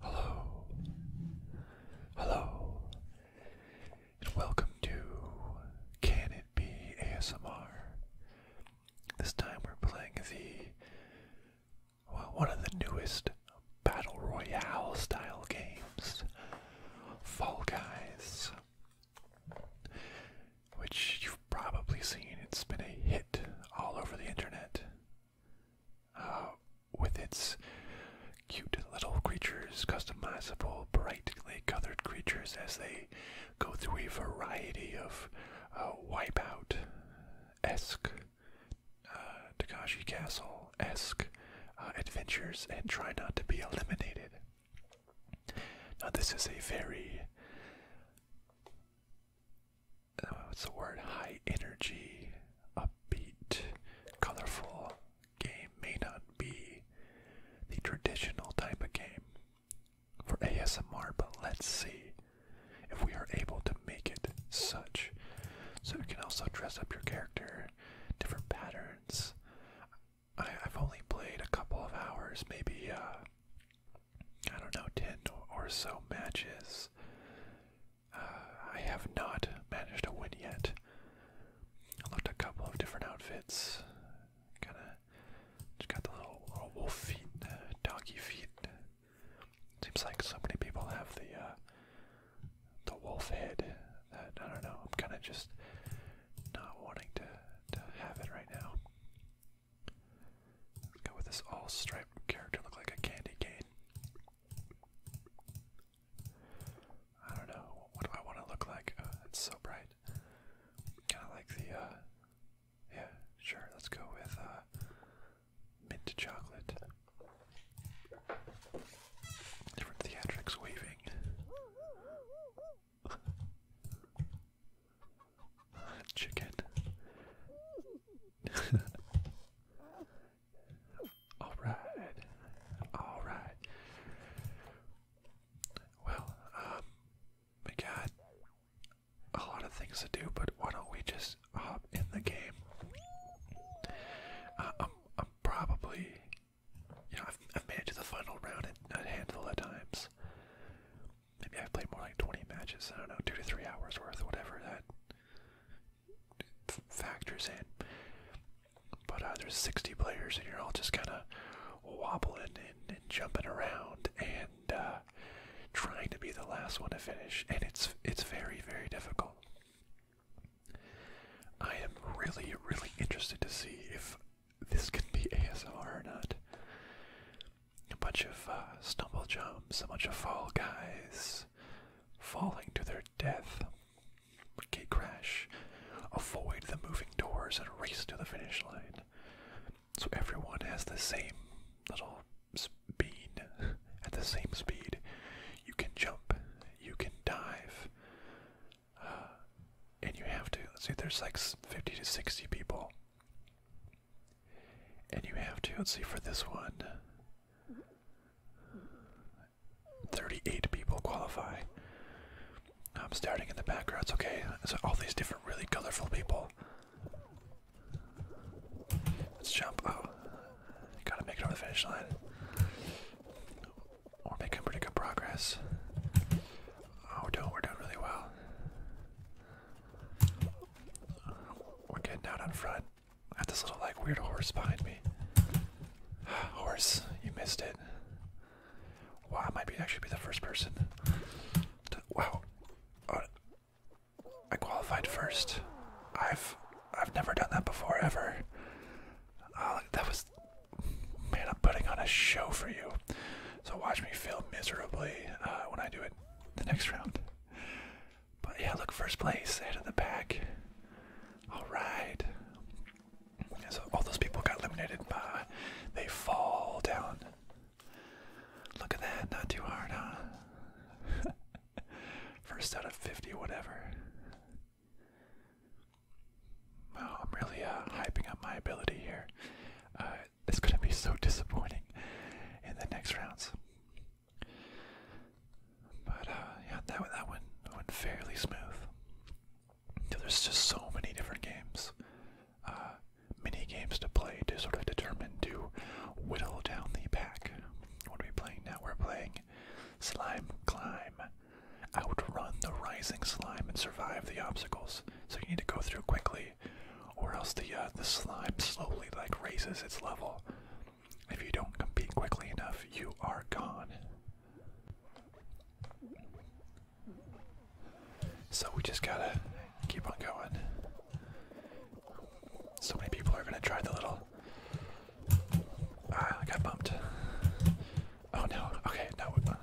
Hello. Hello. And welcome to Can It Be ASMR. This time we're playing the one of the newest battle royale style games, Fall Guys which you've probably seen. It's been a hit all over the internet uh, with its cute little creatures, customizable, brightly colored creatures as they go through a variety of uh, wipeout esque, uh, Takashi Castle esque adventures and try not to be eliminated. Now, this is a very uh, what's the word? High energy, upbeat, colorful game may not be the traditional type of game for ASMR, but let's see if we are able to make it such. So you can also dress up your character, different patterns. I, have only played a couple of hours, maybe uh, I don't know, 10 or so matches. Uh, I have not managed to win yet. I looked a couple of different outfits. Kind of got the little, wolf feet, uh, doggy feet. Seems like so many people have the uh, the wolf head that I don't know. I'm kind of just not wanting to to have it right now go with this all striped character, look like a candy cane. I don't know. What do I want to look like? Uh, it's so bright. Kind of like the, uh, yeah, sure. Let's go with uh, mint chocolate. Different theatrics waving. Chicken. all right, all right. Well, um, we got a lot of things to do, but why don't we just hop in the game? Uh, I'm, I'm probably, you know, i made it to the final round a handful of times maybe I've played more like 20 matches. I don't know, two to three hours worth, whatever that factors in. But uh, there's 60 players, and you're all just kind of wobbling and, jumping around and uh, trying to be the last one to finish, and it's it's very very difficult. I am really really interested to see if this can be ASR or not a bunch of uh, stumble jumps, a bunch of fall guys falling to their death. Gate crash, avoid the moving doors and race to the finish line. So everyone has the same little speed at the same speed. You can jump, you can dive, uh, and you have to. Let's see, there's like 50 to 60 people and you have to, let's see, for this one, 38 people qualify. I'm starting in the background, it's okay. There's all these different really colorful people. Let's jump. Oh, gotta make it over the finish line. We're making pretty good progress. Oh, we're doing, we're doing really well. We're getting out on front. I have this little like weird horse behind me. horse, you missed it. Wow, I might be actually be the first person. wow, uh, I qualified first. I've I've never done that before ever. Uh, that was man. I'm putting on a show for you. So watch me feel miserably uh, when I do it the next round. But yeah, look, first place, head of the pack. All right. so all those people got eliminated by they fall down. Look at that, not too hard, huh? First out of 50, whatever. Wow, I'm really uh, hyping up my ability here. Uh, it's going to be so disappointing in the next rounds. But uh, yeah, that that one went fairly smooth. there's just so many different games, uh, mini games to play to sort of determine to whittle down the pack. What are we playing now? We're playing Slime Climb. Outrun the rising slime and survive the obstacles. So you need to go through quickly or else the uh, the slime slowly like raises its level. If you don't compete quickly enough, you are gone. So we just gotta keep on going. So many people are gonna try the little. Ah, I got bumped. Oh no. Okay, no, we're good.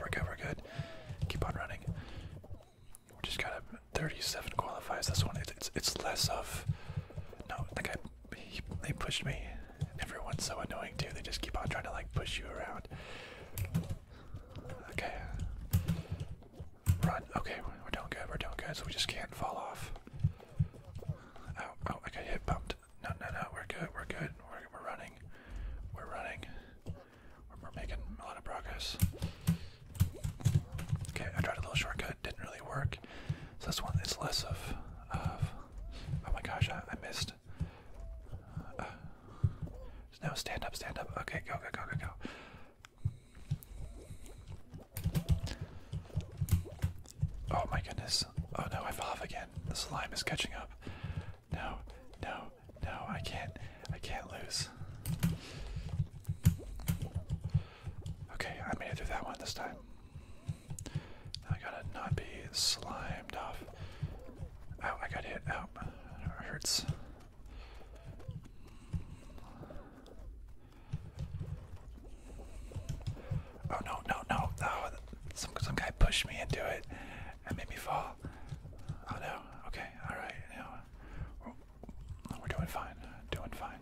We're good. We're good. Keep on running we just got him. 37 qualifies this one. It's it's, less of. No, the guy they pushed me. Everyone's so annoying too. They just keep on trying to like push you around. Okay. Run. Okay, we're doing good. We're doing good. So we just can't fall off. Oh, oh, I got hit bumped. No, no, no. We're good. We're good. We're, we're running. We're running. We're making a lot of progress. Okay, I tried a little shortcut, didn't really work. So this one is less of, of oh my gosh, I, missed. Uh, no, stand up, stand up. Okay, go, go, go, go, go. Oh my goodness. Oh no, I fell off again. The slime is catching up. No, no, no, I can't. I can't lose. Okay, I made it through that one this time. I gotta not be slimed off. Oh, I got hit. Oh, it hurts. Oh no, no, no, no. Oh, some, some guy pushed me into it and made me fall. Oh no, okay, alright, now we're doing fine. Doing fine.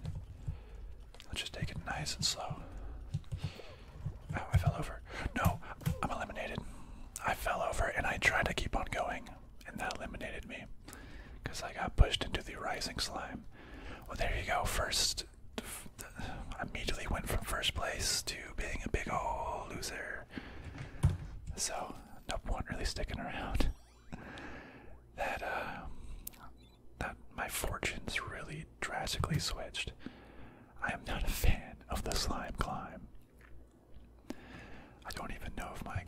Let's just take it nice and slow. Oh, I fell over. No, I'm eliminated. I fell over and I tried to keep on going, and that eliminated me. Because I got pushed into the rising slime. Well, there you go. First, immediately went from first place to being a big old loser. So, number one really sticking around. that uh, that my fortunes really drastically switched. I am not a fan of the slime climb. I don't even know if my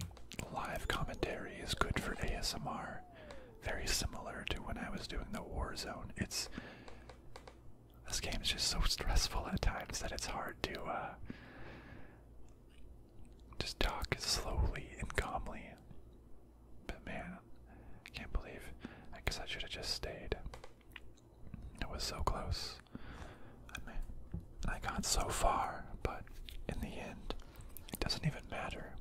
live commentary is good for ASMR. Very similar to when I was doing the war zone. It's this game is just so stressful at times that it's hard to uh, just talk slowly and calmly. But man, I can't believe. I guess I should have just stayed. It was so close. I mean, I got so far, but in the end, it doesn't even matter.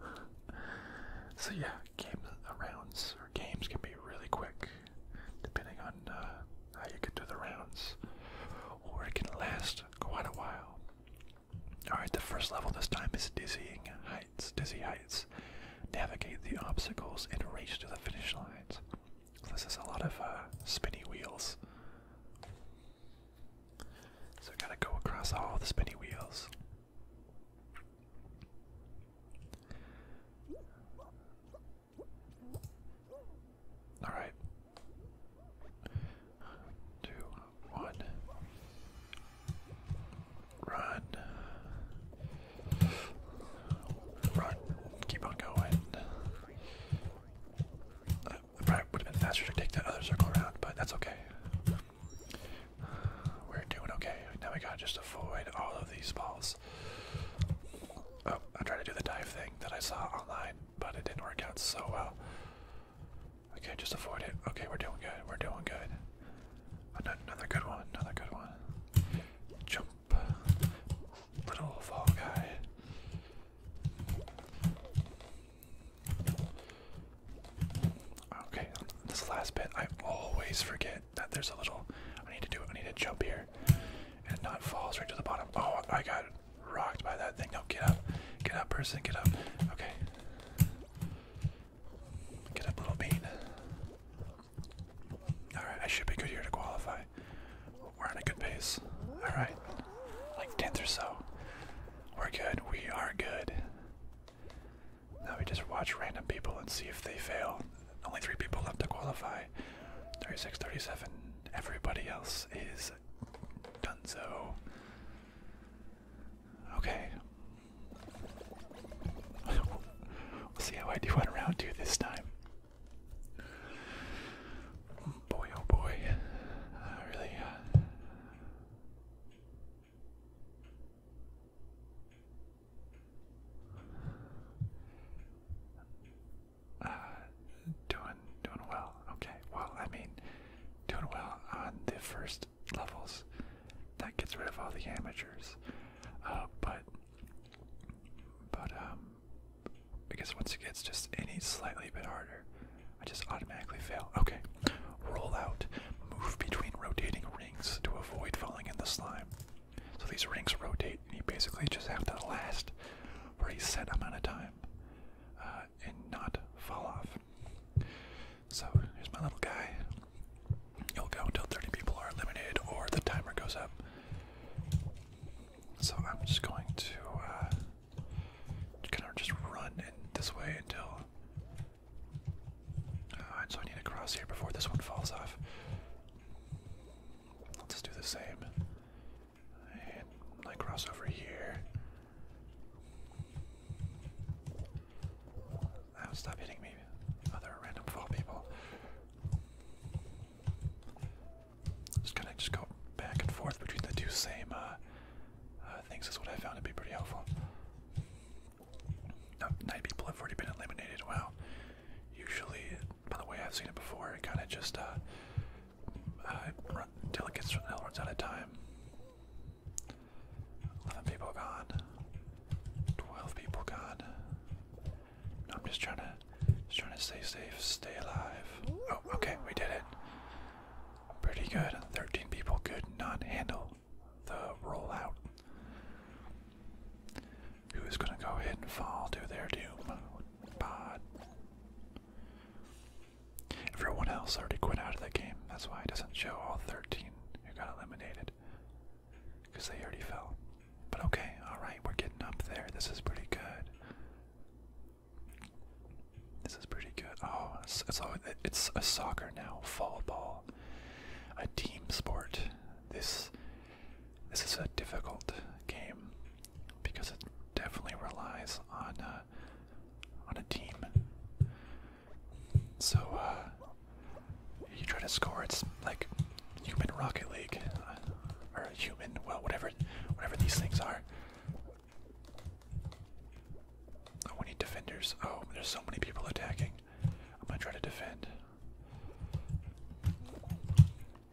so yeah, games uh, rounds or games can be really quick depending on uh, how you can do the rounds, or it can last quite a while. Alright, the first level this time is Dizzying Heights. Dizzy Heights. Navigate the obstacles and reach to the finish lines. this is a lot of uh, spinny wheels. So gotta go across all the spinny wheels. All right. Two, one. Run. Run. Keep on going. probably would have been faster to take that other circle around, but that's okay. We're doing okay. Now we got just avoid all of these balls this. Oh, I tried to do the dive thing that I saw online, but it didn't work out so well. Okay, just avoid it. Okay, we're doing good. We're doing good. Another good one. Another good one. Jump. Little fall guy. Okay, um, this last bit I always forget that there's a little. I need to do it. I need to jump here and not falls right to the bottom. Oh, I got rocked by that thing. No, get up. Get up, person. Get up. Okay. Get up, little bean. Alright, I should be good here to qualify. We're on a good pace. Alright. Like 10th or so. We're good. We are good. Now we just watch random people and see if they fail only three people left to qualify. 36, 37. Everybody else is done so. Okay. we'll see how I do on round two this time. Boy, oh boy. really. Uh, uh, doing doing well. Okay, well, I mean, doing well on the first levels. That gets rid of all the amateurs, uh, but but um, because once it gets just any slightly bit harder, I just automatically fail. Okay, roll out, move between rotating rings to avoid falling in the slime. So these rings rotate, and you basically just have to last for a set amount of time uh, and not fall off. So here's my little guy. You'll go until 30 people are eliminated or the timer goes up. So I'm just going to uh, kind of just run in this way until. Uh, so I need to cross here before this one falls off. Let's do the same. I cross over here. Ah, stop hitting me, other random fall people. Just kind of just go back and forth between the two same uh, uh, things is what I found to be pretty helpful. No, people have already been eliminated. Wow. Usually by the way I've seen it before. It kind of just uh, uh it gets until it runs out of time. Eleven people gone. Twelve people gone. I'm just trying to just trying to stay safe, stay alive. Oh, okay, we did it. Pretty good. Thirteen people could not handle the rollout who is going to go ahead and fall to their doom. But everyone else already quit out of the game. That's why it doesn't show all 13 who got eliminated. Because they already fell. But okay, alright, we're getting up there. This is pretty good. This is pretty good. Oh, it's, it's, it's a soccer now, fall ball. A team sport. This this is a difficult game because it definitely relies on uh, on a team. So uh, you try to score. It's like human Rocket League uh, or human, well, whatever, whatever these things are. Oh, we need defenders. Oh, there's so many people attacking. I'm gonna try to defend.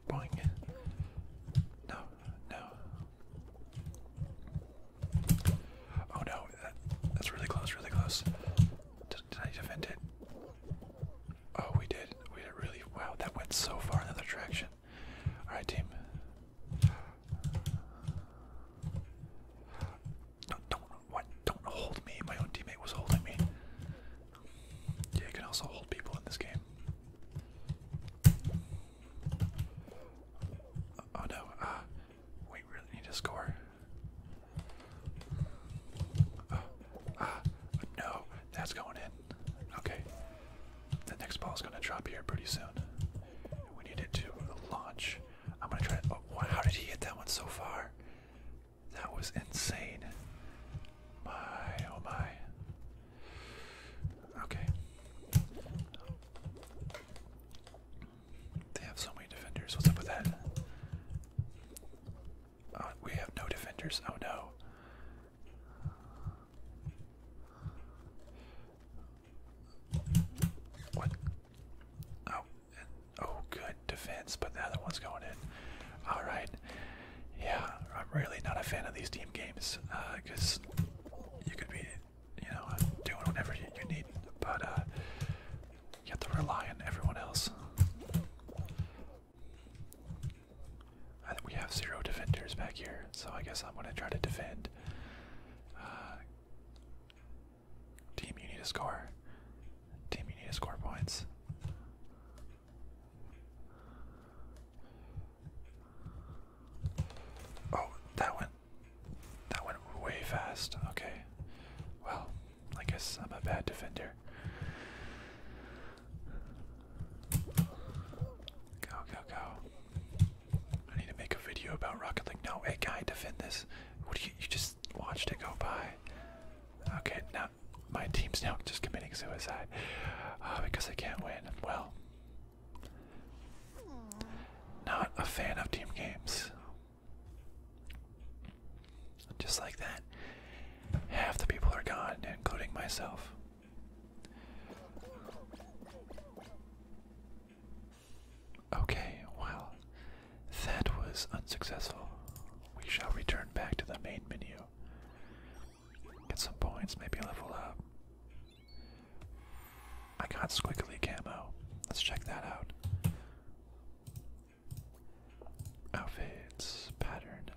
Boing. No, no. Oh no, that, that's really close, really close. Did, I defend it? Oh, we did. We did really. Wow, that went so far in the other direction. Alright, team. No, don't, what? Don't hold me. My own teammate was holding me. Yeah, you can also hold people in this game. Oh no, ah, we really need to score. Uh, no, that's going in. Okay, the next ball is gonna drop here pretty soon. We need it to launch. I'm gonna try. Oh, wow, how did he hit that one so far? That was insane. My, oh my. Okay. They have so many defenders. What's up with that? Uh, we have no defenders. Oh no. What? Oh, oh, good defense, but the other one's going in. All right, yeah, I'm really not a fan of these team games because uh, you could be, you know, doing whatever you, need, but uh, you have to rely on everyone else. I think we have zero defenders back here, so I guess I'm gonna try to defend. Uh, team, you need a score. Team, you need to score points. Oh, that went that went way fast. Okay. Well, I guess I'm a bad defender. Go, go, go. I need to make a video about Rocket League. No, hey guy, defend this. What you just watched it go by? Okay, now my team's now just committing suicide uh, because they can't win. Well, not a fan of team games. Just like that, half the people are gone, including myself. Okay, well, that was unsuccessful. We shall return back to the main menu. Get some points, maybe level up. I got squiggly camo. Let's check that out. Outfits, pattern.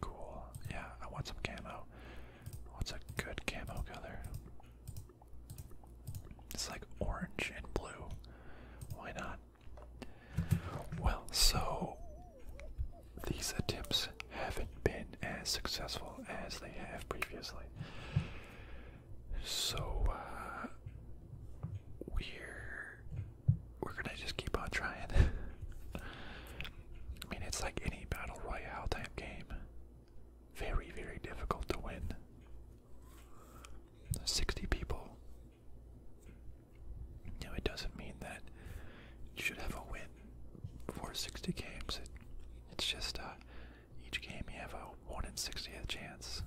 Cool. Yeah, I want some camo. What's a good camo color? It's like orange and blue. Why not? Well, so these attempts haven't been as successful as they have previously. So uh, we're we're gonna just keep on trying. I mean, it's like any battle royale type game. Very, very difficult to win. 60 people now, it doesn't mean that you should have a win for 60 games. it's just uh, each game you have a 1 in 60th chance.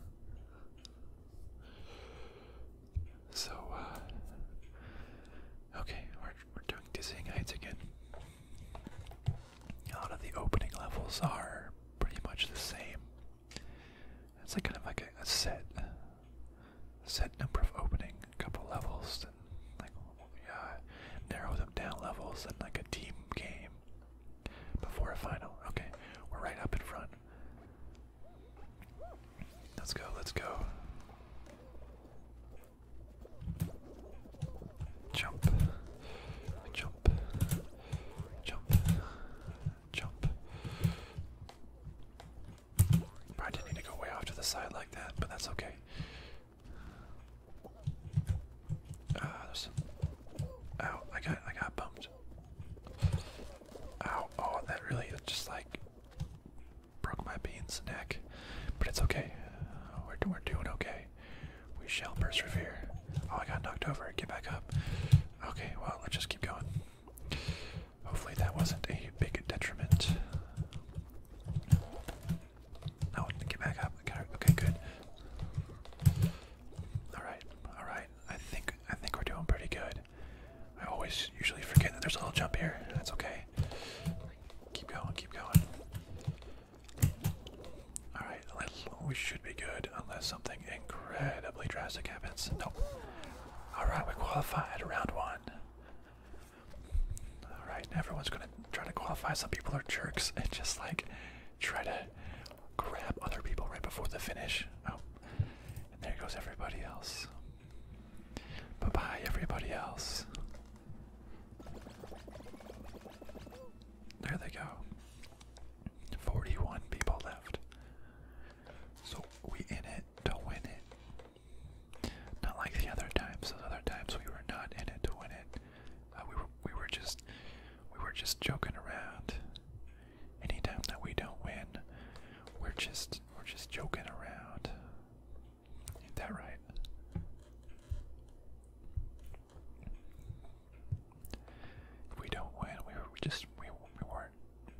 So, uh, okay, we're doing Dizzying Heights again. A lot of the opening levels are pretty much the same. It's like kind of like a, set, set number of opening, a couple levels, and like yeah, narrow them down levels, and like a team game before a final. Okay, we're right up in front. Let's go. Let's go. Jump, jump, jump, jump. I didn't need to go way off to the side like that, but that's okay. Ah, there's some. Ow! I got I got bumped. Ow! Oh, that really just like broke my bean's neck, but it's okay. we're we're doing okay. We shall persevere. Oh, I got knocked over. Get back up. Okay, well, let's just keep going. Hopefully that wasn't a big detriment. No, get back up. Okay, good. All right, all right. I think I think we're doing pretty good. I always usually forget that there's a little jump here. That's okay. Keep going, keep going. All right, we should be good unless something incredibly drastic happens. Nope. Alright, we qualified round one. Alright, everyone's gonna try to qualify. Some people are jerks and just like try to grab other people right before the finish. Oh, and there goes everybody else. Bye bye, everybody else. There they go. 41 people left. So we in it to win it. Not like the other times. Those other times we were not in it to win it. Uh, we were we were just we were just joking around. Anytime that we don't win, we're just we're just joking around. Ain't that right? we don't win, we were just we we weren't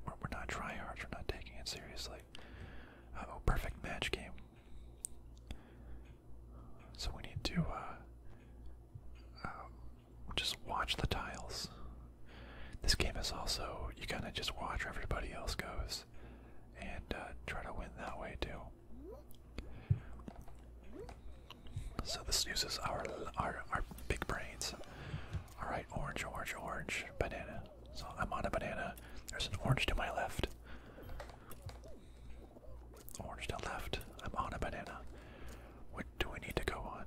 we're, we're not We're not taking it seriously. Uh, oh, perfect match game. So we need to uh, um, just watch the tiles. This game is also you kind of just watch where everybody else goes, and uh, try to win that way too. So this uses our our our big brains. All right, orange, orange, orange, banana. So I'm on a banana. There's an orange to my left. Orange to left. I'm on a banana. What do we need to go on?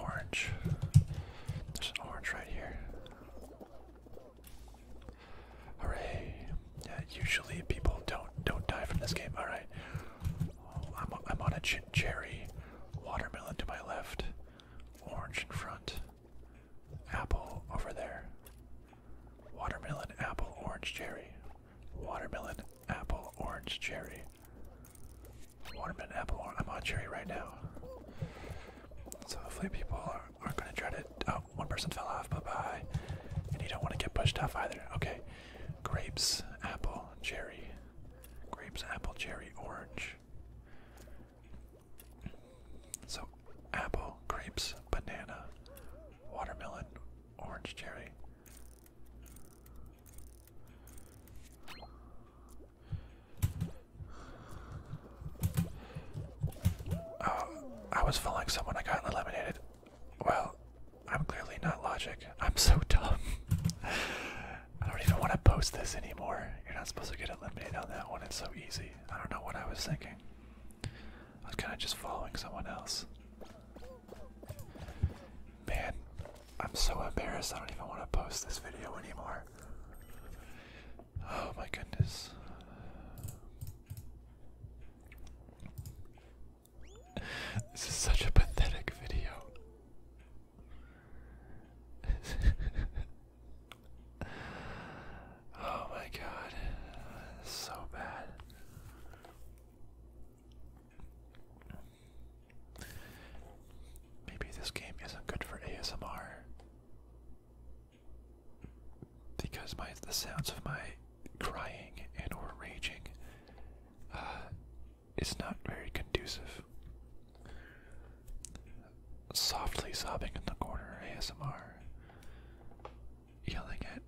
Orange. There's an orange right here. Hooray! Yeah, usually people don't don't die from this game. All right, I'm, on a cherry. Watermelon to my left. Orange in front. Apple over there. Watermelon, apple, orange, cherry. Watermelon, apple, orange, cherry. Watermelon, apple, orange. I'm on cherry right now. So hopefully people are, not going to try to. Oh, one person fell off. Bye bye. And you don't want to get pushed off either. Okay grapes, apple, cherry, grapes, apple, cherry, orange. So, apple, grapes, banana, watermelon, orange, cherry. Oh, I was following someone. I got eliminated. Well, I'm clearly not logic. I'm so dumb. I don't even want to post this anymore. You're not supposed to get eliminated on that one. It's so easy. I don't know what I was thinking. I was kind of just following someone else. Man, I'm so embarrassed. I don't even want to post this video anymore. Oh my goodness. This is such a pathetic video. oh my god. So bad. Maybe this game isn't good for ASMR because my the sounds of my crying and or raging uh, is not very conducive. Softly sobbing in the corner, ASMR. Yelling at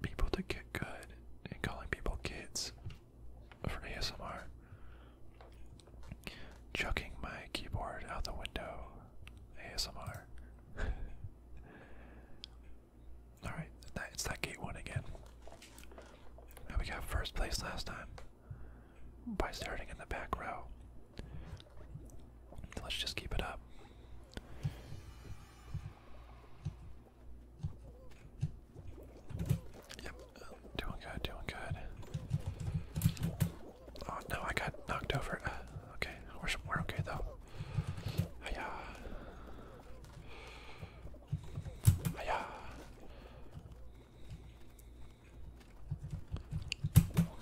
people to get good and calling people kids for ASMR. Chucking my keyboard out the window, ASMR. Alright, it's that gate one again. we got first place last time by starting in the back row. Let's just keep it up. Yep, doing good, doing good. Oh no, I got knocked over. Uh, okay, we're, we're okay though. Hiya. Hiya.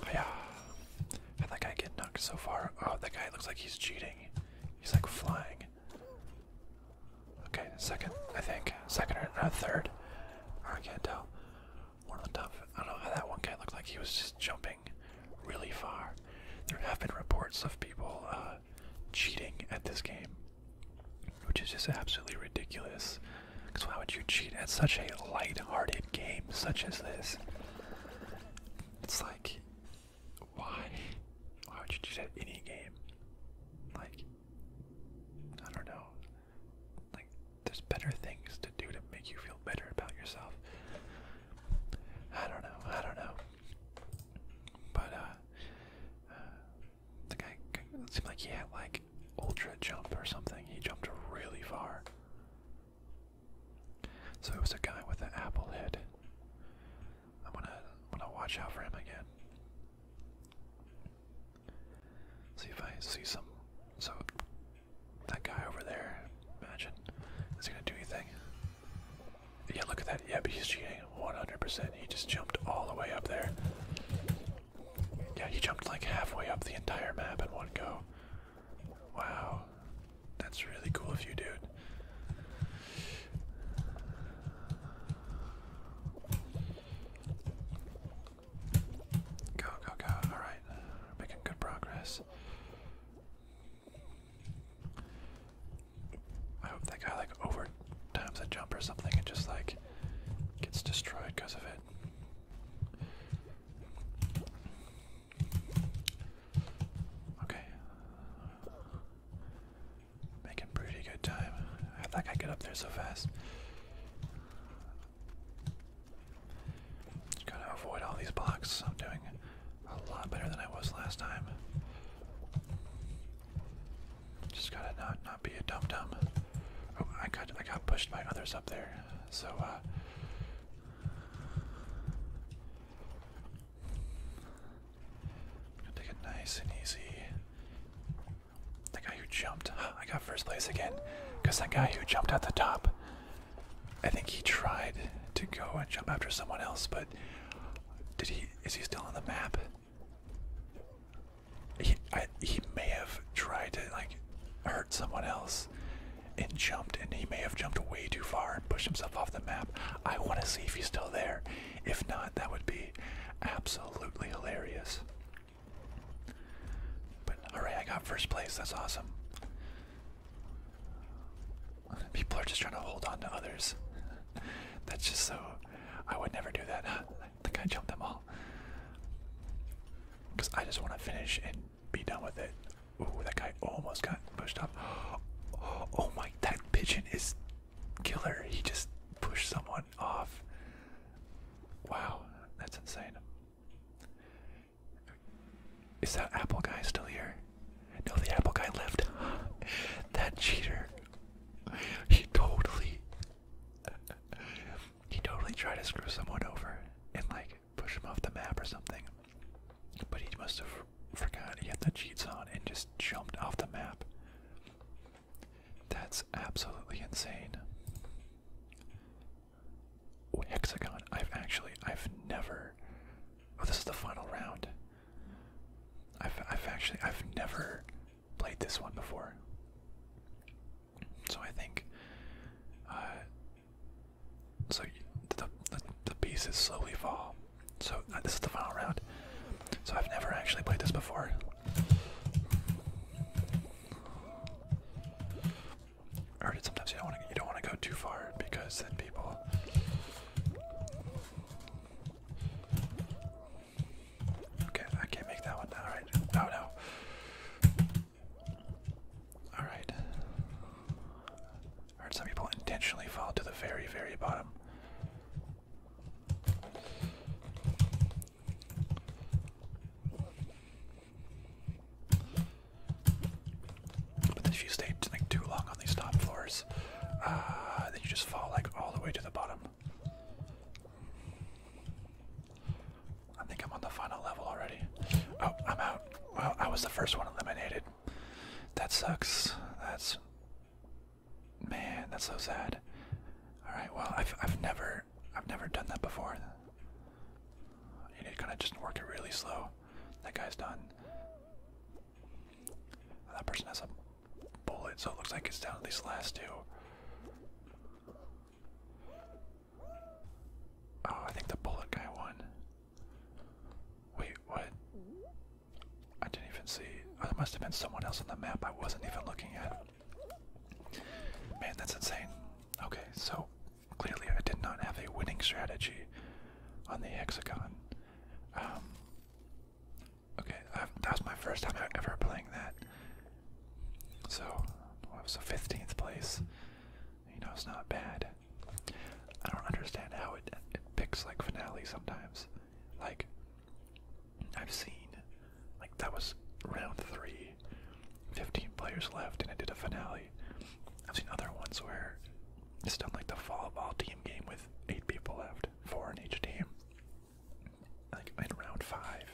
Hiya. that guy get knocked so far? Oh, that guy looks like he's cheating. He's like flying. Okay, second, I think. Second or no, third. I can't tell. One on the top. I don't know how that one guy looked like he was just jumping really far. There have been reports of people uh, cheating at this game, which is just absolutely ridiculous. Because why would you cheat at such a light-hearted game such as this? It's like, why? Why would you cheat at any game? Like, I don't know. Like, there's better things to do to make you feel better about yourself. I don't know. I don't know. But uh, uh, the guy it seemed like he had like ultra jump or something. He jumped really far. So it was a guy with an apple head. I'm gonna, I'm gonna watch out for him again. See if I see some. So that guy over there, imagine, is he gonna do anything? Yeah, look at that. Yep, he's cheating 100%. He just jumped all the way up there. Yeah, he jumped like halfway up the entire map in one go. Wow. That's really cool of you, dude. Go, go, go. Alright. making good progress. I hope that guy like over times a jump or something and just like gets destroyed because of it. Okay. Making pretty good time. How did that guy get up there so fast? gotta avoid all these blocks. I'm doing a lot better than I was last time. Just gotta not not be a dum dum. Oh, I got I got pushed by others up there. So i uh, gonna take it nice and easy. The guy who jumped, I got first place again, because that guy who jumped at the top, I think he tried to go and jump after someone else, but did he is he still on the map? He may have tried to like hurt someone else and jumped, and he may have jumped way too far and pushed himself off the map. I want to see if he's still there. If not, that would be absolutely hilarious. But alright, I got first place. That's awesome. People are just trying to hold on to others. That's just so. I would never do that. I think I jumped them all. Because I just want to finish and be done with it. Ooh, that guy almost got pushed off. Oh my, that pigeon is killer. He just pushed someone off. Wow, that's insane. Is that apple guy still here? No, the apple guy lived. that cheater. He totally. He totally tried to screw someone over and like push him off the map or something. But he must have forgot he had the cheats on and just jumped off the map. That's absolutely insane. Hexagon. I've actually I've never. Oh, this is the final round. I've I've actually I've never played this one before, so I think. Uh, so the, the the pieces slowly fall. So uh, this is the final round. So I've never actually played this before. I heard sometimes you don't want to you don't want to go too far because then people Okay, I can't make that one. All right. Oh no. All right. I heard some people intentionally fall to the very, very bottom. But if you stay like too long on these top floors, uh, then you just fall like all the way to the bottom. I think I'm on the final level already. Oh, I'm out. Well, I was the first one eliminated. That sucks. That's. Man, that's so sad. Alright, well, I've, I've never. I've never done that before. You need to kind of just work it really slow. That guy's done. That person has a bullet, so it looks like it's down to these last two. Oh, I think the bullet guy won. Wait, what? I didn't even see. Oh, there must have been someone else on the map I wasn't even looking at. Man, that's insane. Okay, so clearly I did not have a winning strategy on the hexagon. Um, Okay, that was my first time ever playing that. So, well, it was a 15th place. You know, it's not bad. I don't understand how it, it picks like finale sometimes. Like, I've seen, like, that was round three, 15 players left, and it did a finale. I've seen other ones where it's done like the Fall of All team game with eight people left, four in each team, like in round five,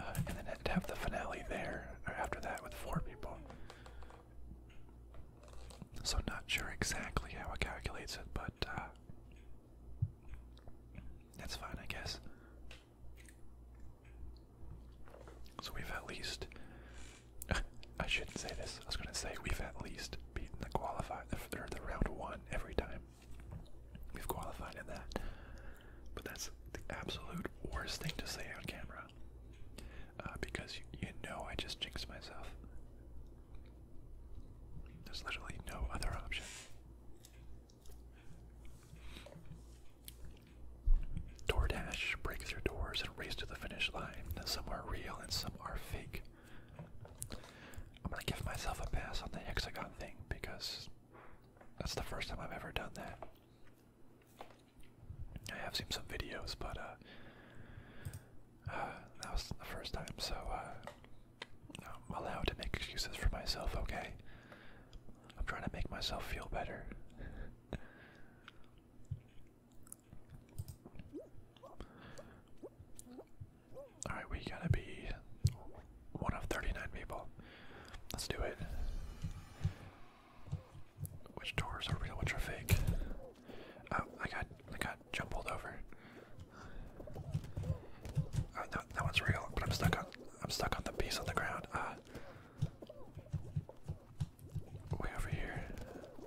uh, and then to have the finale there after that with four people. So not sure exactly how it calculates it, but uh, that's fine, I guess. So we've at least. I shouldn't say this. I was gonna say we've at least beaten the qualifier, or the round one every time we've qualified in that. But that's the absolute worst thing to say on camera uh, because you, know I just jinxed myself. There's literally no other option. Door dash breaks through doors and race to the finish line. Some are real and some are fake. I'm gonna give myself a pass on the hexagon thing because that's the first time I've ever done that. I have seen some videos, but uh, uh, that was the first time, so uh, I'm allowed to make excuses for myself, okay? I'm trying to make myself feel better. Alright, we gotta be one of 39 people. Let's do it. Which doors are real, which are fake? Oh, I got I got jumbled over. Oh, no, that one's real, but I'm stuck on I'm stuck on the piece on the ground. Uh, way over here.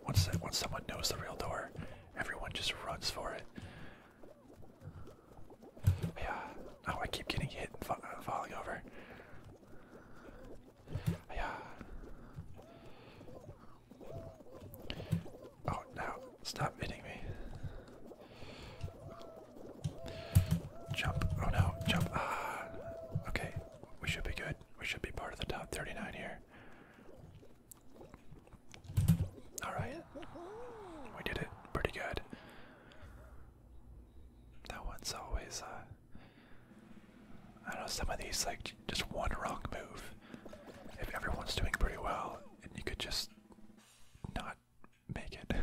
Once once someone knows the real door, Everyone just runs for it. Yeah. Oh, I keep getting hit and falling over. Yeah. Oh, now stop hitting me. Jump. Oh no, jump. Ah. Okay, we should be good. We should be part of the top 39 here. Alright. We did it pretty good. That one's always, uh, I don't know, some of these, like, just one wrong move. If everyone's doing pretty well, and you could just not make it.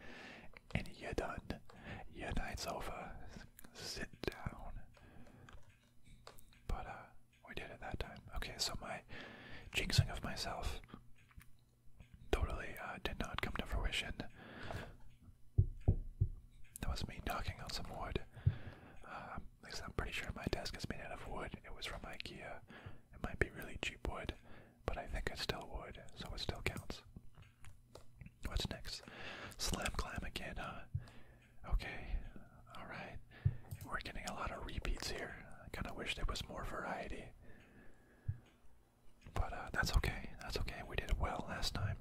and you're done. Your night's over. Sit down. But uh, we did it that time. Okay, so my jinxing of myself totally uh, did not come to fruition. That was me knocking on some wood. Uh, at I'm pretty sure my desk is made out of wood. It was from IKEA. It might be really cheap wood, but I think it's still wood, so it still counts. What's next? Slam clam again, huh? Okay, alright. We're getting a lot of repeats here. I kind of wish there was more variety. But uh, that's okay. That's okay. We did well last time.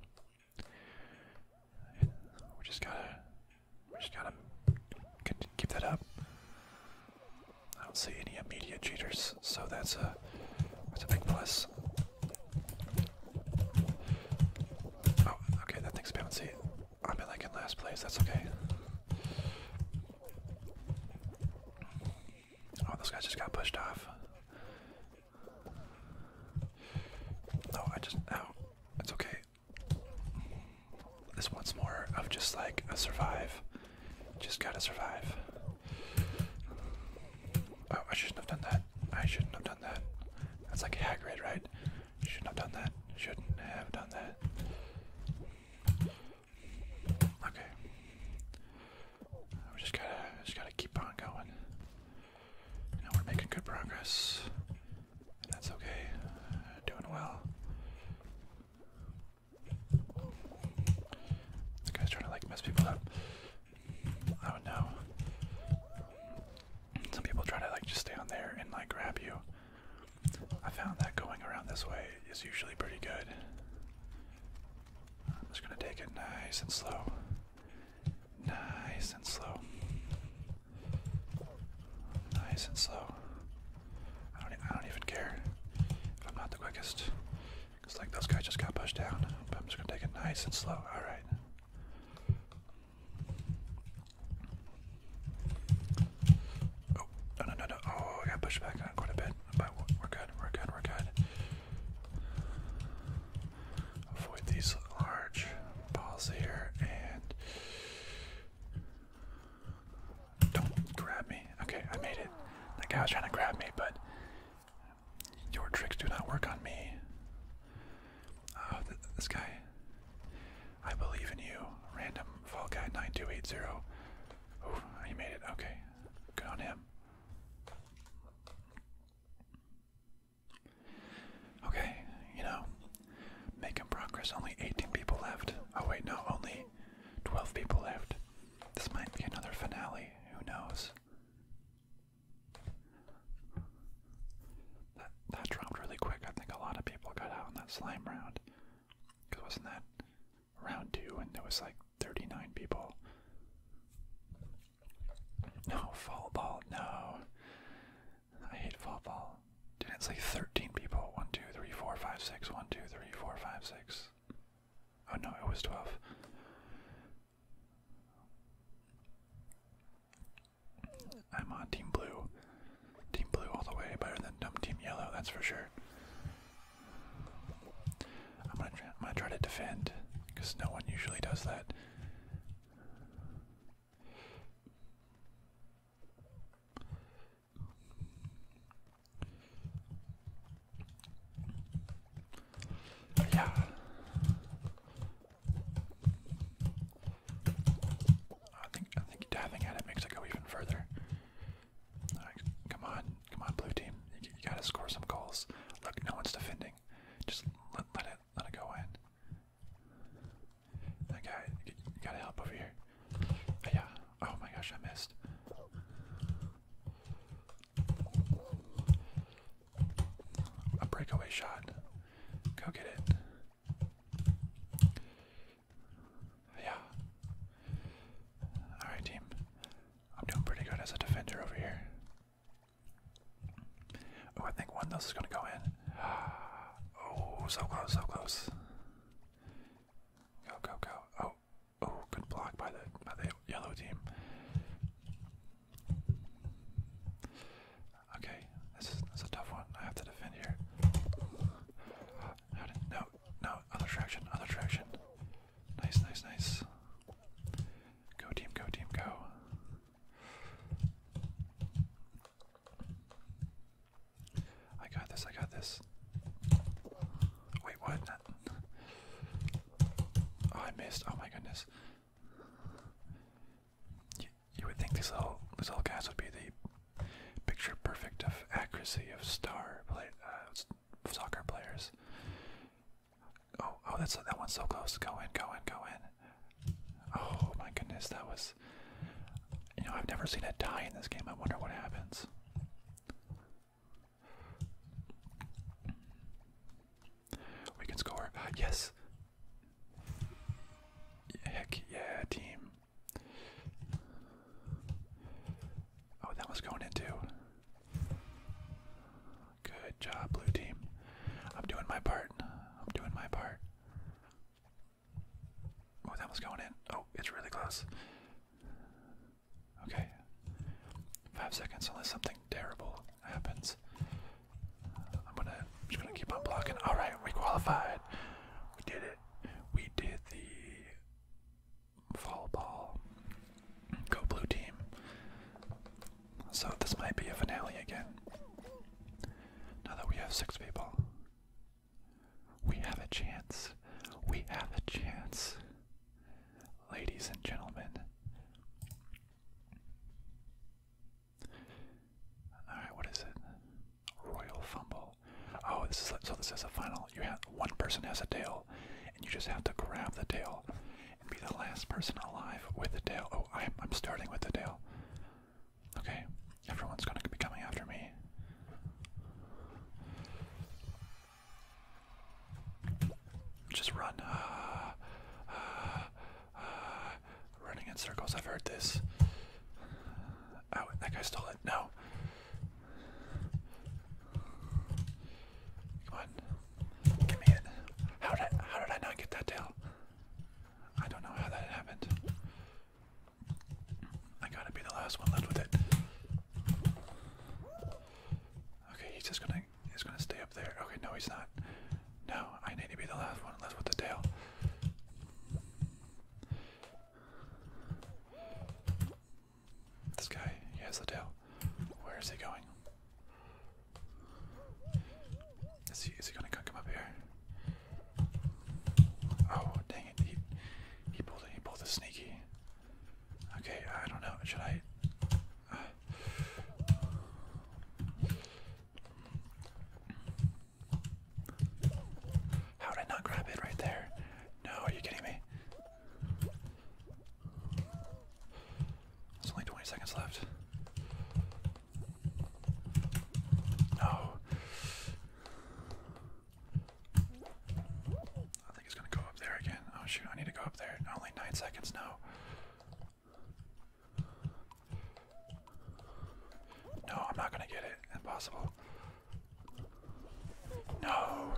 We just gotta, we just gotta keep that up. I don't see any immediate cheaters, so that's a that's a big plus. Oh, okay, that thing's bouncy. I'm in like in last place, that's okay. Oh, this guy just got pushed off. No, I just no. It's okay. This once more of just like survive. Just gotta survive. Oh, I shouldn't have done that. I shouldn't have done that. That's like a Hagrid, right? Shouldn't have done that. Shouldn't have done that. Okay. We just gotta, just gotta keep on going. Now we're making good progress. that's okay. Doing well. This guy's trying to like mess people up. I do Some people try to like just stay on there and like grab you. I found that going around this way is usually pretty good. I'm just gonna take it nice and slow. Nice and slow. Nice and slow. I don't, even care if I'm not the quickest. like, those guys just got pushed down. But I'm just gonna take it nice and slow. Alright. Oh, no, no, no, no. Oh, I got pushed back on uh, quite a bit. But we're good, we're good, we're good. Avoid these large balls here and. Don't grab me. Okay, I made it. That guy was trying to grab me, but your tricks do not work on me. Oh, this guy. I believe in you. Random fall guy 9280. Oh, you made it. Okay. Good on him. Okay, you know, making progress. Only 18 people left. Oh, wait, no, only 12 people left. This might be another finale. Who knows? That that dropped really quick. I think a lot of people got out in that slime round. Cause wasn't that round two and there was like 39 people. No, fall ball, no. I hate fall ball. Didn't say 13 people? 1, 2, 3, 4, 5, 6. 1, 2, 3, 4, 5, 6. Oh no, it was 12. I'm on Team Blue. Team Blue all the way, better than dumb Team Yellow, that's for sure. I'm gonna try, I'm gonna try to defend, because no one usually does that. Yeah. I think I think dabbing at it makes it go even further. come on, come on, blue team, you, gotta score some goals. Look, no one's defending. Just let, it let it go in. That gotta help over here. Oh, yeah. Oh my gosh, I missed. A breakaway shot. Go get it. Yeah. Alright, team. I'm doing pretty good as a defender over here. Oh, I think one of those is going to go in. Oh, so close, so close. Go, go, go. Oh, oh, good block by the by the yellow team. Okay, this is, this is a tough one. I have to defend here. How did, no, no, other traction, other traction. Nice, nice, nice. Go team, go team, go. I got this, I got this. Wait, what? Oh, I missed. Oh my goodness you would think these little these little guys would be the picture perfect of accuracy of star play, uh, soccer players. Oh, oh, that's that one's so close. Go in, go in, go in. Oh my goodness, that was. You know, I've never seen a die in this game. I wonder what happens. We can score. Yes. Heck yeah, team. Oh, that was going into. Good job, blue team. I'm doing my part. I'm doing my part. Oh, that was going in. Oh, it's really close. Okay. Five seconds unless something terrible happens. I'm gonna just gonna keep on blocking. All right, we qualified. We did it. We did the fall ball. Go blue team. So this might be a finale again. Now that we have six people, we have a chance. We have a chance, ladies and gentlemen. All right, what is it? Royal fumble. Oh, this is so. This is a final. You have one person has a tail, and you just have to grab the tail and be the last person alive with the tail. Oh, I'm, I'm starting with the tail. Okay, everyone's gonna be coming after me. Just run. Ah, ah. running in circles. I've heard this. Oh, that guy stole it. No. Come on. Give me it. How did I, how did I not get that tail? I don't know how that happened. I gotta be the last one left with it. Okay, he's just gonna he's gonna stay up there. Okay, no, he's not. No, I need to be the last one, unless with the tail. This guy, he has the tail. Where is he going? Is he gonna come up here? Oh dang it! He pulled it. He pulled a sneaky. Okay, I don't know. Should I? Uh. How did I not grab it right there? No, are you kidding me? There's only 20 seconds left. No. I think it's gonna go up there again. Oh shoot, I need to go up there. Only 9 seconds now. No, I'm not gonna get it. Impossible. No.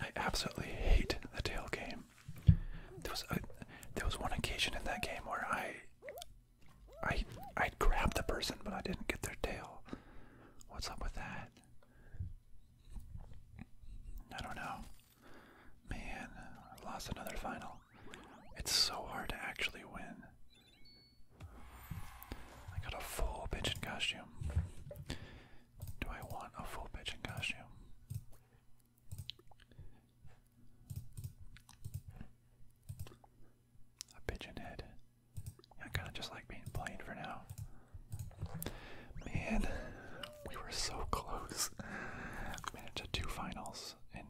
I absolutely hate the tail game. There was a, there was one occasion in that game where I I I grabbed the person but I didn't get their tail. What's up with that? I don't know. Man, lost another final. It's so hard to actually win. I got a full pigeon costume. Do I want a full pigeon costume? A pigeon head. I kind of just like being plain for now. Man, we were so close. managed to two finals in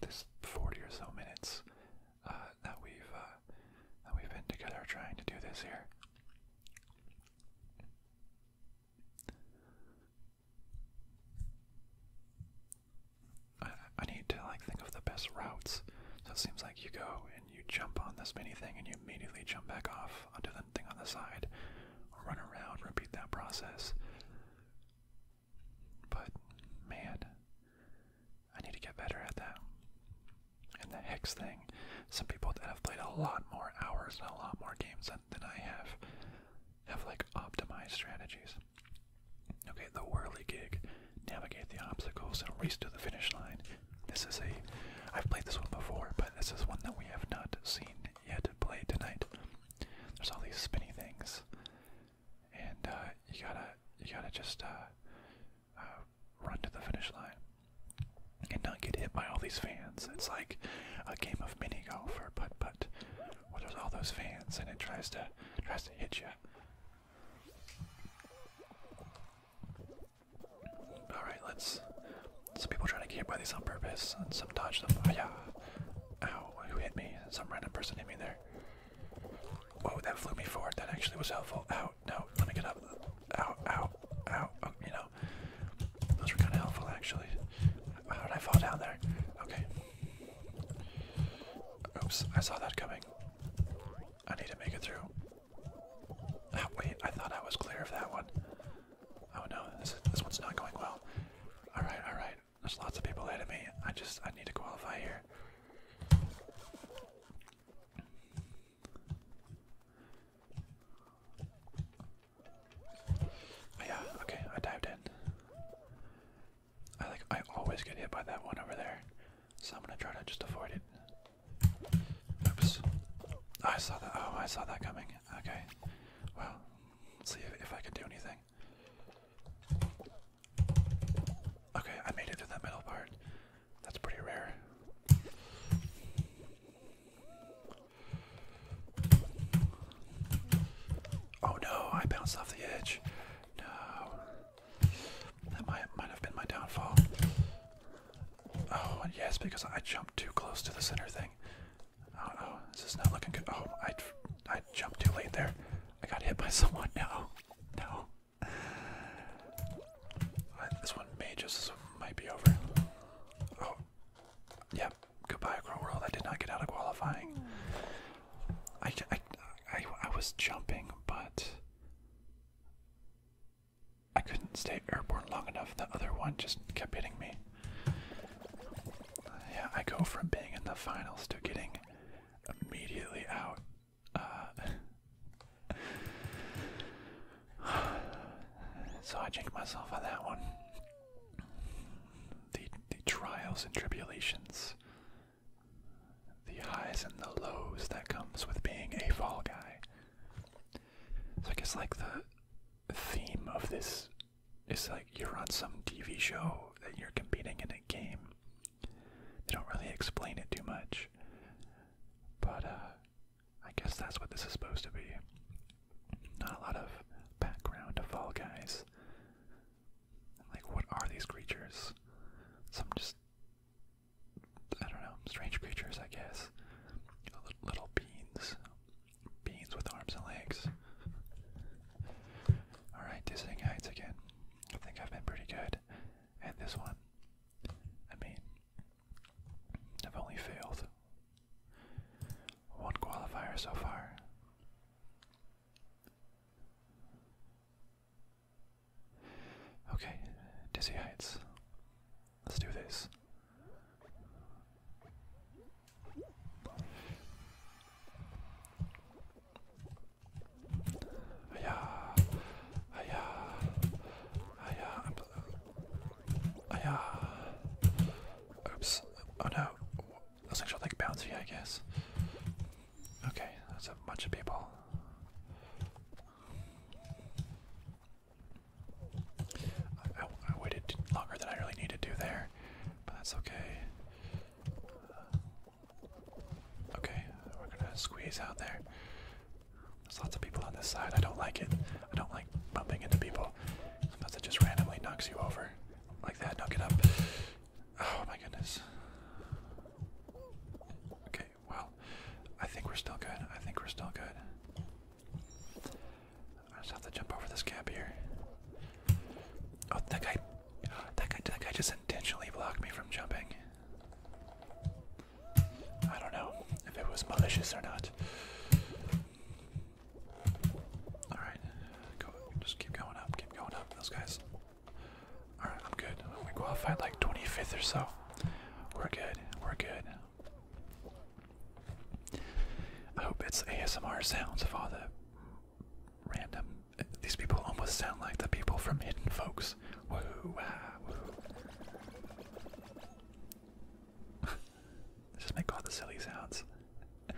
this 40 or so minutes uh, that we've uh, that we've been together trying to do this here. I, I need to like think of the best routes. So it seems like you go and you jump on this mini thing and you immediately jump back off onto the thing on the side, or run around, repeat that process. But man, I need to get better at that. And the hex thing, some people that have played a lot more hours and a lot more games than, I have have like optimized strategies. Okay, the whirly gig, navigate the obstacles and race to the finish line. This is a I've played this one before, but this is one that we have not seen yet play tonight. There's all these spinny things, and uh, you gotta you gotta just uh, uh, run to the finish line and not get hit by all these fans. It's like a game of mini golf or putt putt, where there's all those fans and it tries to tries to hit you. All right, let's some people trying to get by these on purpose, and some dodge them. Oh, yeah. Ow, who hit me? Some random person hit me there. Oh, that flew me forward. That actually was helpful. Ow, no, let me get up. Ow, ow, ow. Oh, you know, those were kind of helpful actually. How did I fall down there? Okay. Oops, I saw that coming. I need to make it through. wait, I thought I was clear of that one. Oh no, this, this one's not going well. Alright, alright. There's lots of people ahead of me. I just, I need to qualify here. Oh, yeah, okay, I dived in. I like, I always get hit by that one over there. So I'm gonna try to just avoid it. Oops. I saw that, oh, I saw that coming. Okay. Well, see if, I can do anything. Okay, I made it to that middle part. That's pretty rare. Oh no, I bounced off the edge. No. That might, might have been my downfall. Oh, yes, because I jumped too close to the center thing. Oh, no! Oh, this is not looking good. Oh, I, I jumped too late there. I got hit by someone. No, no. Uh, this one may just might be over. Oh, yep. Goodbye, Crow World. I did not get out of qualifying. I, I, I, I was jumping, but I couldn't stay airborne long enough. The other one just kept hitting me. Yeah, I go from being in the finals to getting immediately out. Uh, so I check myself on that one. The the trials and tribulations, the highs and the lows that comes with being a fall guy. So I guess like the theme of this it's like you're on some TV show that you're competing in a game. They don't really explain it too much. But uh I guess that's what this is supposed to be. Not a lot of background to Fall Guys. Like what are these creatures? Some just I don't know, strange creatures I guess. Little beans. Beans with arms and legs. Alright, dizzy Heights again. I think I've been pretty good And this one. I mean, I've only failed one qualifier so far. Okay, Dizzy Heights. Let's do this. Hiya. Hiya. Hiya. Hiya. Oops. Oh no. That's actually like bouncy, I guess. Okay, that's a bunch of people. I, I waited longer than I really needed to there but that's okay. Uh, okay, we're gonna squeeze out there. There's lots of people on this side. I don't like it. I don't like bumping into people. Sometimes it just randomly knocks you over. Like that, knock it up. Oh my goodness. Okay, well, I think we're still good. I think we're still good. I just have to jump over this gap here. Oh, that guy, that guy, that guy just intentionally blocked me from jumping. I don't know if it was malicious or not. All right, Just keep going up, keep going up. Those guys. All right, I'm good. We qualified like 25th or so. We're good. We're good. I hope it's ASMR sounds of all the random. These people almost sound like the people from Hidden Folks. Whoa, wow, whoa. Just make all the silly sounds.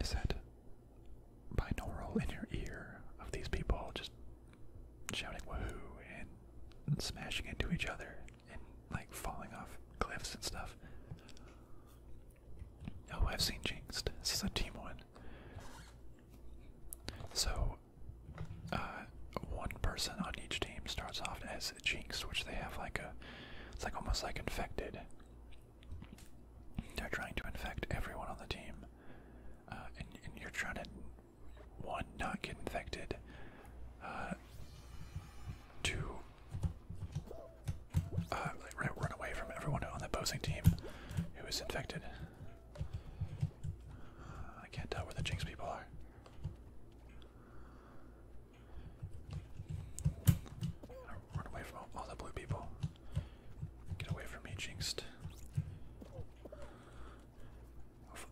Is that binaural in your ear of these people just shouting woohoo and smashing into each other? and like falling off cliffs and stuff. Oh, I've seen Jinxed. This is a team one. So, uh, one person on each team starts off as Jinxed, which they have like a, it's like almost like infected. They're trying to infect everyone on the team, uh, and, and you're trying to one not get infected, uh, two uh, run away from everyone on that posing team who is infected. Uh, I can't tell where the Jinx people are. Run away from all the blue people. Get away from me, Jinxed.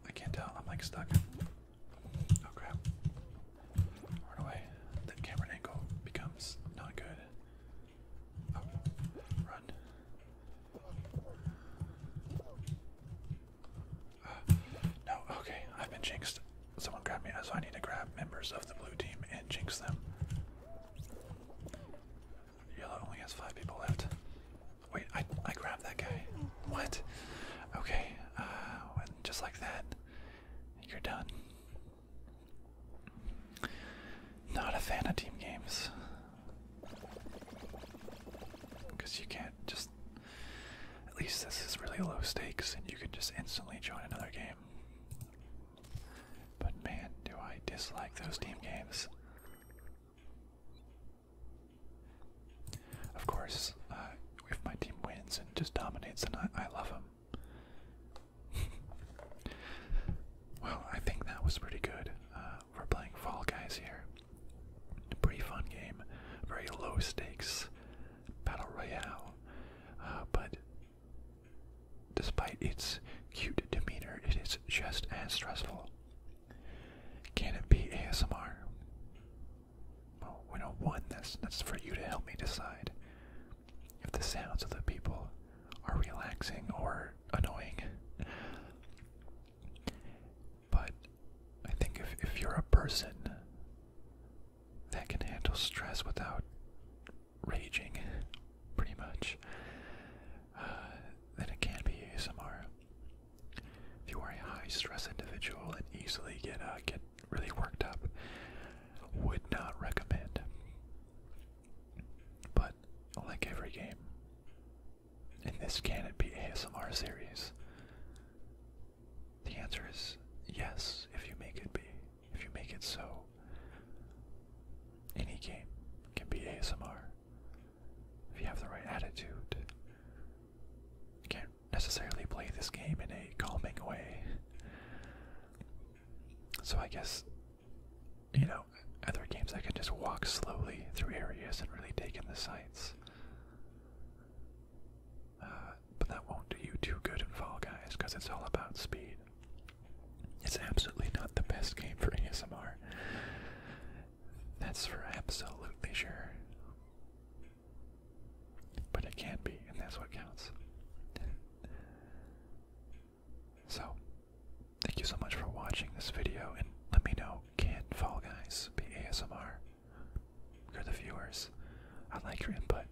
I can't tell. I'm like stuck. Oh crap. Run away. The camera angle becomes not good. Oh, run. Uh, no, okay, I've been jinxed. Someone grabbed me, so I need to grab members of the blue team and jinx them. Yellow only has five people left. Wait, I I grabbed that guy. What? Okay, uh, just like that, you're done. Not a fan of team games. Because you can't just. At least this is really low stakes and you can just instantly join another game. But man, do I dislike those team games. Of course, uh, if my team wins and just dominates, then I, love them. well, I think that was pretty good. for uh, playing Fall Guys here. A pretty fun game, very low stakes battle royale. Uh, but despite its cute demeanor, it is just as stressful. Can it be ASMR? Well, we don't want this. That's for you to help me decide if the sounds of the people are relaxing or annoying. but I think if, if you're a person that can handle stress without raging, pretty much, uh, then it can be ASMR. If you are a high stress individual and easily get uh, get really worked up. Would not recommend. But like every game in this Can It Be ASMR series, the answer is yes, if you make it be. If you make it so, any game can be ASMR. If you have the right attitude, it can necessarily play this game in a calming way. So I guess, you know, other games I can just walk slowly through areas and really take in the sights. Uh, but that won't do you too good in Fall Guys because it's all about speed. It's absolutely not the best game for ASMR. That's for absolutely sure. But it can't be, and that's what counts. so, thank you so much for watching this video, and let me know, can Fall Guys be ASMR? You're the viewers. I like your input.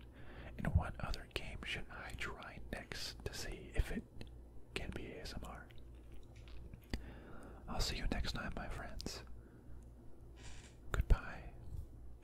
And what other game should I try next to see if it can be ASMR? I'll see you next time, my friends. Goodbye.